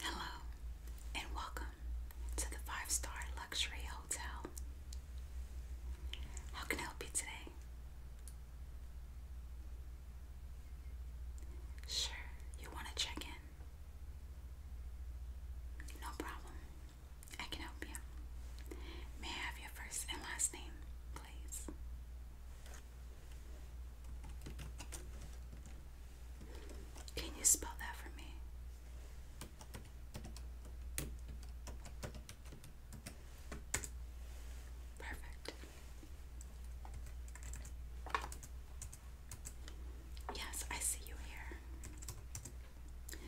Hello, and welcome to the five star luxury hotel. How can I help you today? Sure, you want to check in. No problem. I can help you. May I have your first and last name, please? Can you spell that for me? Perfect. Yes, I see you here.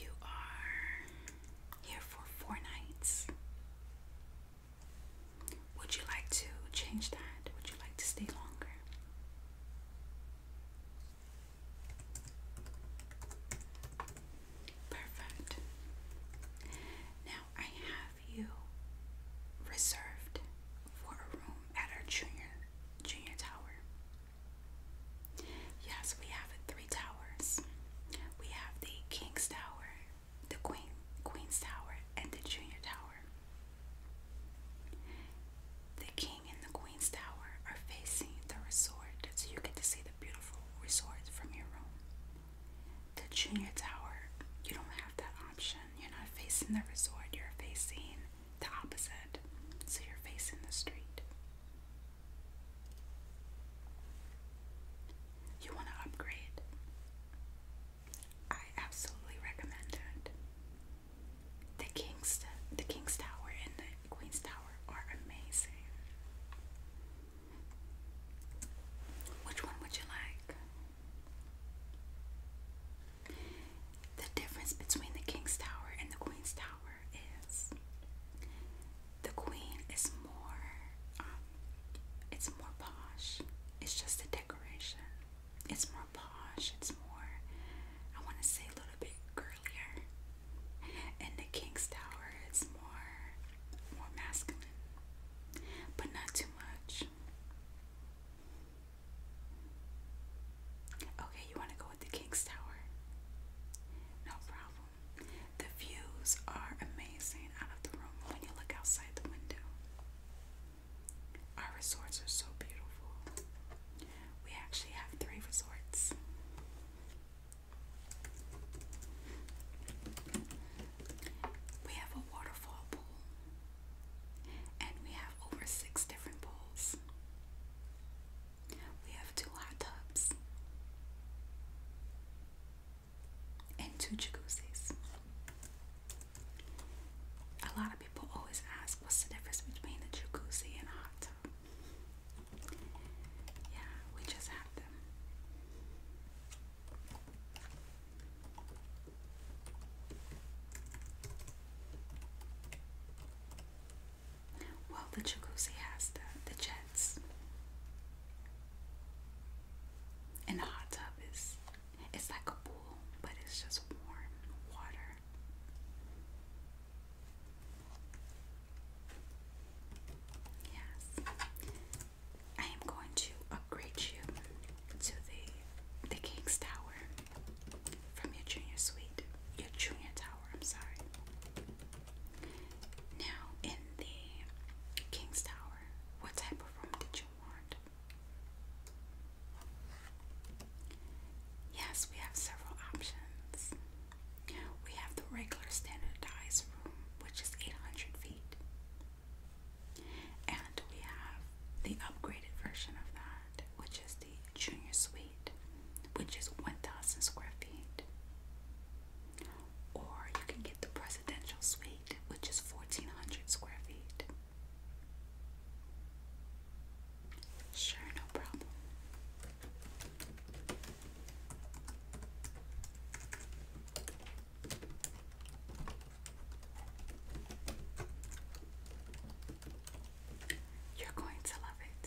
You are here for four nights. Would you like to change that? Would you like to stay longer? Perfect. Now I have you reserved for a room at our junior junior tower. Yes, we have three towers. We have the King's Tower, the Queen Queen's Tower, and the Junior Tower. The King and the Queen's Tower are facing the resort, so you get to see the beautiful resort from your room. The Junior Tower, you don't have that option. You're not facing the resort, you're facing the opposite, so you're facing the street. You want to upgrade? I absolutely recommend it. The King's the King's Tower and the Queen's Tower are amazing. Which one would you like? The difference between the King's Tower and the Queen's Tower is the Queen is more, um, it's more posh. It's just a decoration. It's more posh. It's more, I want to say a little bit girlier. And the King's Tower is more, more masculine, but not too much. Okay, you want to go with the King's Tower? No problem. The views are amazing out of the room when you look outside the window. Our resorts are so beautiful. We actually have three resorts. We have a waterfall pool. And we have over six different pools. We have two hot tubs and two jacuzzis. A lot of people always ask what's the difference between a jacuzzi and a hot tub. Yeah, we just have them. Well, the jacuzzi has the, the jets. And the hot tub is it's like a pool, but it's just warm water. Yes. I am going to upgrade you to the the King's Tower from your junior suite, your junior tower. I'm sorry. Now in the King's Tower, what type of room did you want? Yes, we have several options. We have the regular standardized room, which is 800 feet. And we have the upgraded version of that, which is the junior suite, which is 1,000 square feet. Or you can get the presidential suite, which is 1,400 square feet. Sure, no problem. You're going to love it.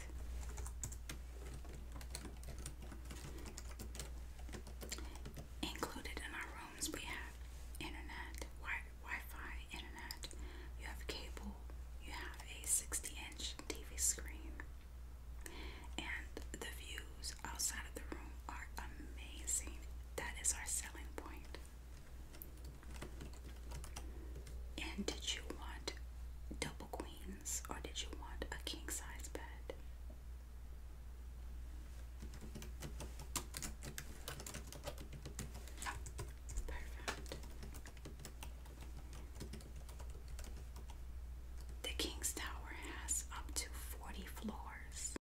Included in our rooms, we have internet, wi fi internet. You have cable. You have a 60-inch TV screen, and the views outside of the room are amazing. That is our selling point. And did you want double queens or did you want a king size bed? Perfect. The King's Tower has up to 40 floors.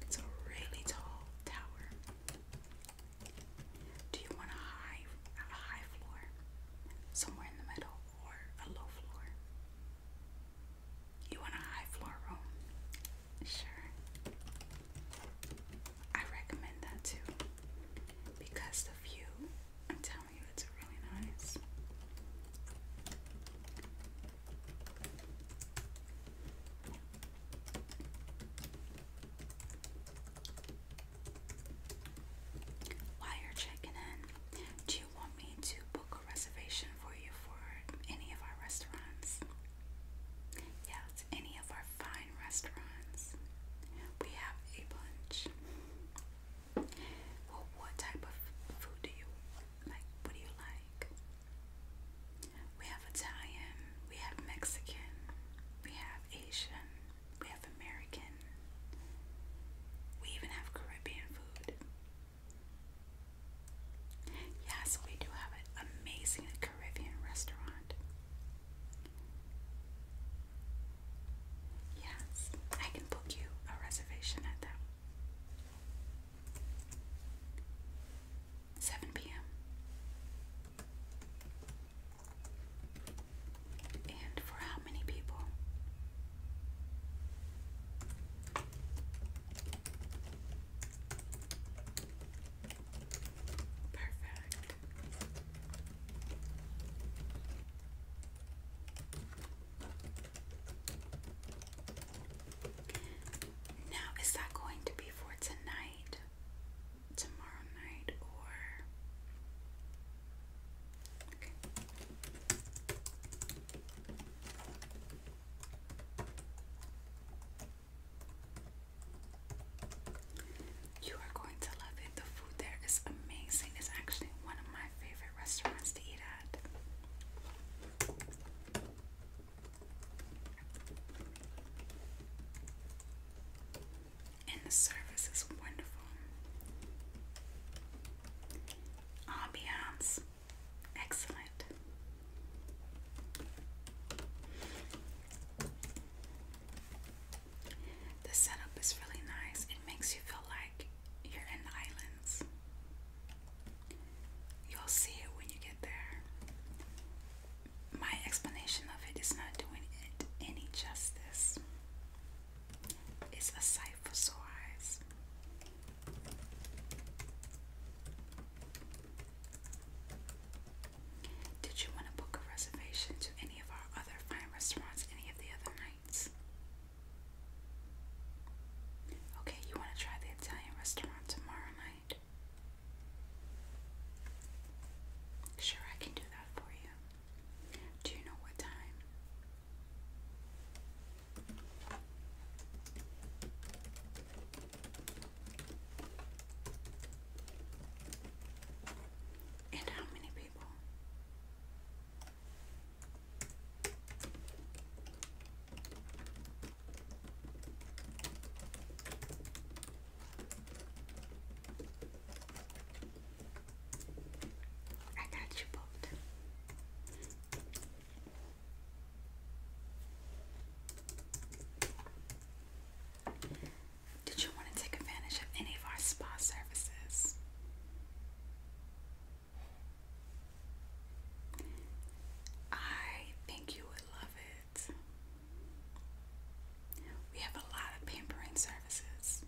It's a really tall tower. Do you want a high, a high floor, somewhere in the middle, or a low floor? You want a high floor room? Sure. I recommend that too because the view, I'm telling you, it's really nice. While you're checking in, do you want me to book a reservation for you for any of our restaurants? Yes, any of our fine restaurants. We have a bunch. Well, what type of food do you like? What do you like? We have Italian, we have Mexican, we have Asian, we have American, we even have Caribbean food. Yes, we do have an amazing Caribbean restaurant. Yes, I can book you a reservation at that 7 p.m. And for how many people? Perfect. Now, is that going to be for tonight, tomorrow night, or? You are going to love it. The food there is amazing. It's actually one of my favorite restaurants to eat at. And the service is wonderful. Ambiance, excellent. The setup is really nice. It makes you feel like you're in the islands. You'll see it when you get there. My explanation of it is not doing it any justice. It's a sight for sore eyes. Did you want to book a reservation to any of our other fine restaurants any of the other nights? Okay, you want to try the Italian restaurant tomorrow night? Sure, I can do that for you. Do you know what time? And how many people? I got you both. Did you want to take advantage of any of our spa services? I think you would love it. We have a lot of pampering services.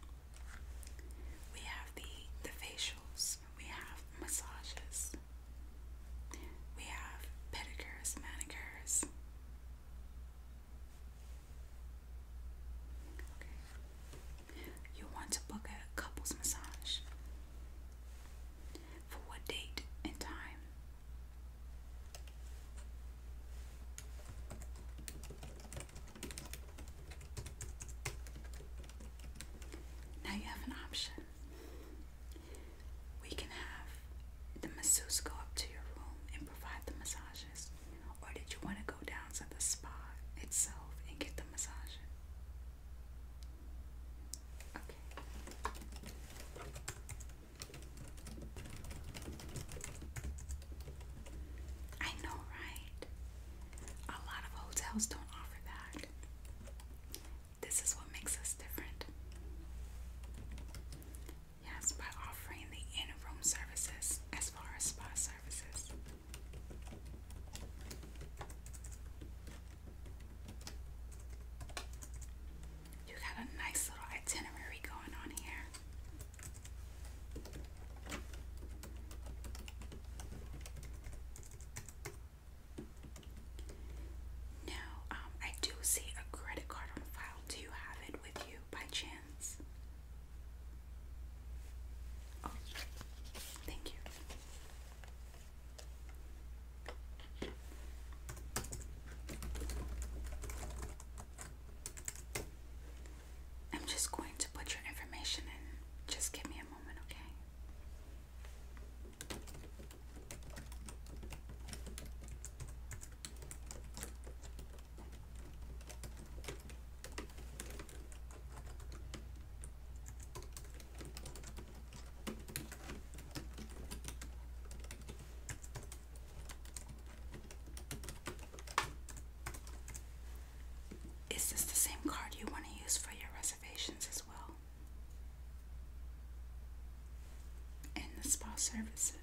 We have the the facials, we have massages. We have pedicures, manicures. You want to book a couples massage? For what date and time? Now you have an option. We can have the masseuse go up to your room and provide the massages, or did you want to go down to the spa itself and get the massage? Okay. I know, right? A lot of hotels don't offer that. This is what makes us different. Yes, by offering the in room services as far as spa services. You got a nice little itinerary going on here. Now, um, I do see a credit card on file. Do you have it with you by chance? Oh, thank you. I'm just going to put your information in. Just give me a moment, okay? Is this the same card you want to use for your reservations as well? And the spa services.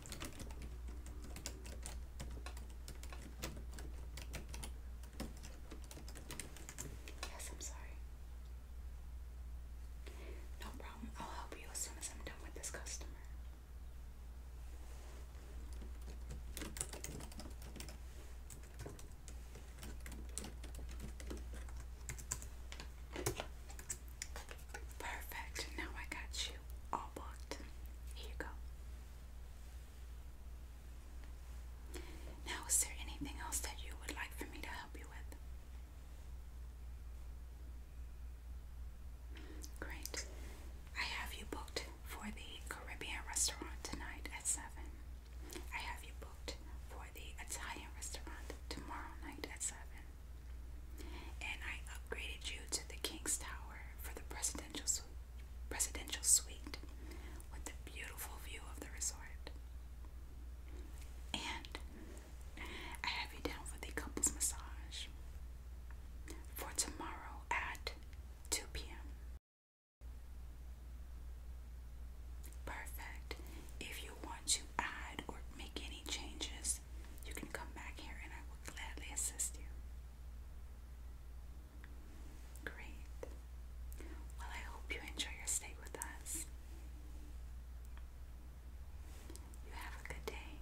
Yes, I'm sorry. No problem. I'll help you as soon as I'm done with this customer. Perfect. Now I got you all booked. Here you go. Now, is there anything else that you would like for me to help you with? Great. I have you booked for the Caribbean restaurant tonight at 7. I have you booked for the Italian restaurant tomorrow night at 7. And I upgraded you to the King's Tower for the presidential suite, presidential suite with the beautiful view of the resort. And I have you down for the couples massage for tomorrow at 2 p.m. Perfect. If you want to add or make any changes, you can come back here and I will gladly assist you. Great. Well, I hope you enjoy your stay with us. You have a good day.